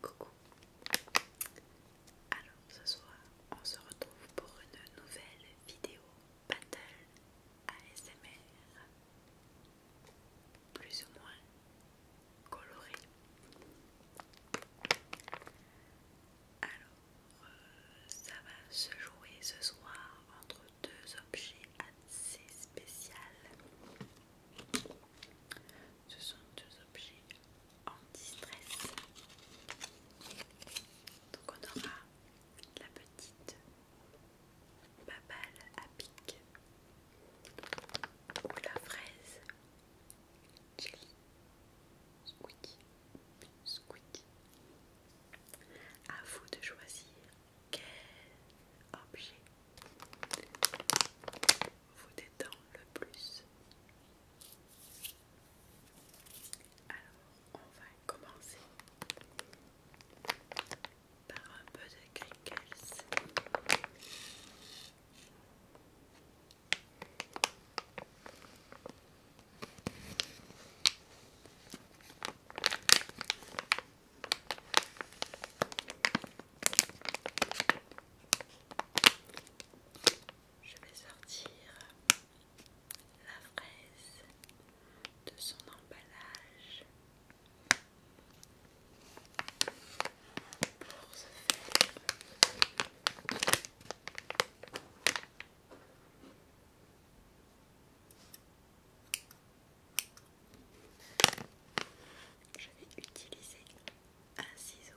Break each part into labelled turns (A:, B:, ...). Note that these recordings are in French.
A: Coucou. Alors ce soir, on se retrouve pour une nouvelle vidéo battle ASMR, plus ou moins colorée. Alors ça va se jouer ce soir entre deux objets assez spéciaux. Ce sont deux objets anti-stress. Donc on aura la petite babale à pic ou la fraise chili Squeaky. À vous de choisir quel objet vous détend le plus. Alors, on va commencer par un peu de crinkles. Je vais sortir la fraise de son emballage pour je vais utiliser un ciseau.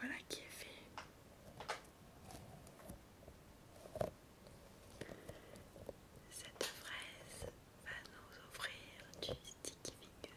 A: Voilà qui est fait. Cette fraise va nous offrir du sticky finger.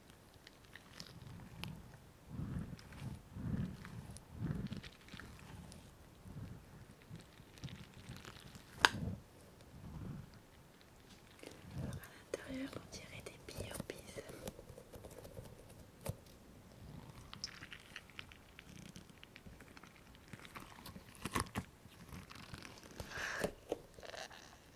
A: à l'intérieur, on dirait des billes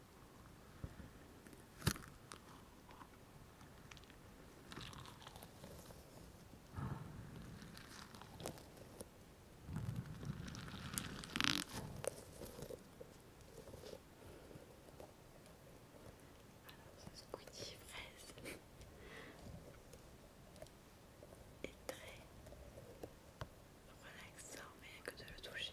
A: Alors, ce goût fraise est très relaxant, mais que de le toucher.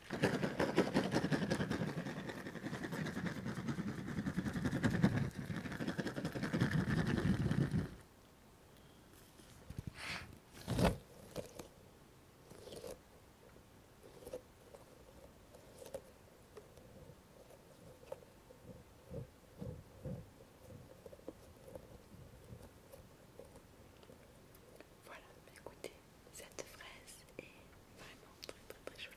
A: Voilà, écoutez, cette fraise est vraiment très très très jolie.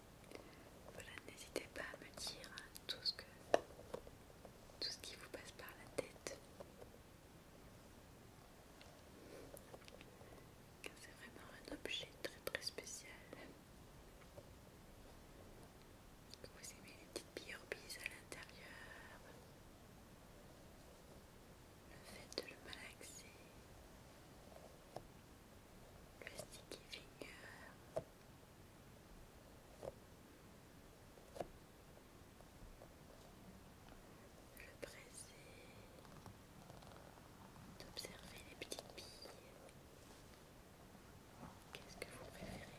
A: Voilà, n'hésitez pas à me dire tout ce, que, tout ce qui vous passe par la tête. C'est vraiment un objet très très spécial. Vous aimez les petites biorbises à l'intérieur, le fait de le malaxer, le sticky finger, je pressais d'observer les petites billes. Qu'est-ce que vous préférez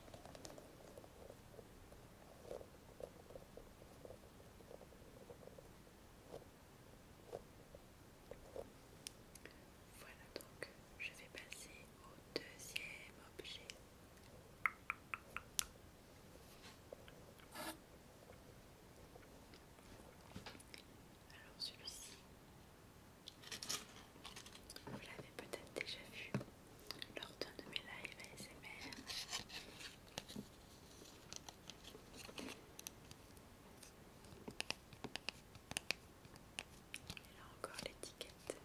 A: voilà donc, je vais passer au deuxième objet. Alors celui-ci, vous l'avez peut-être déjà vu lors d'un de mes lives ASMR. Et là encore l'étiquette.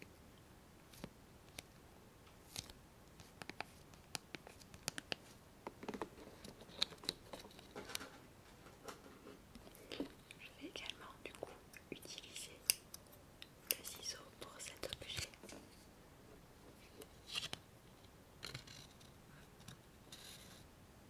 A: Je vais également du coup utiliser des ciseaux pour cet objet.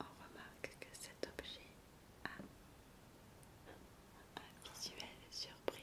A: on remarque que cet objet a un visuel surprise.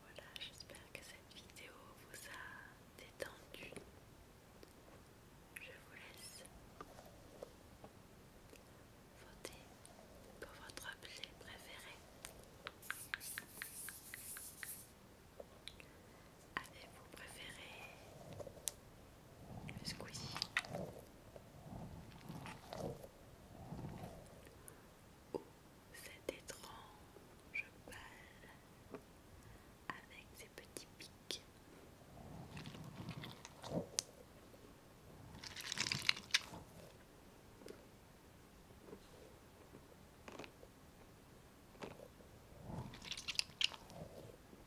A: Voilà, j'espère que cette vidéo vous a détendu. Je vous laisse voter pour votre objet préféré. Avez-vous préféré Squeezie. Oh, cette étrange balle avec ses petits pics.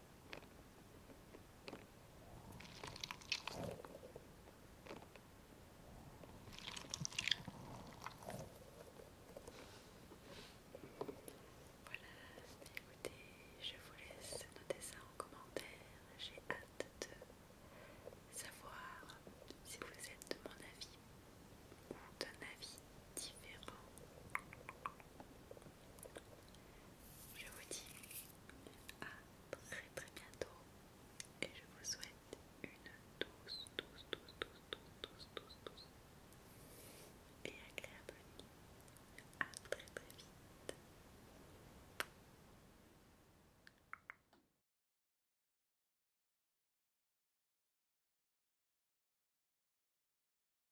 A: Voilà, écoutez, je vous laisse noter ça en commentaire. J'ai hâte de savoir si vous êtes de mon avis ou d'un avis différent. Je vous dis à très très bientôt et je vous souhaite une douce, douce, douce, douce, douce, douce, douce, douce et agréable nuit. À très très vite.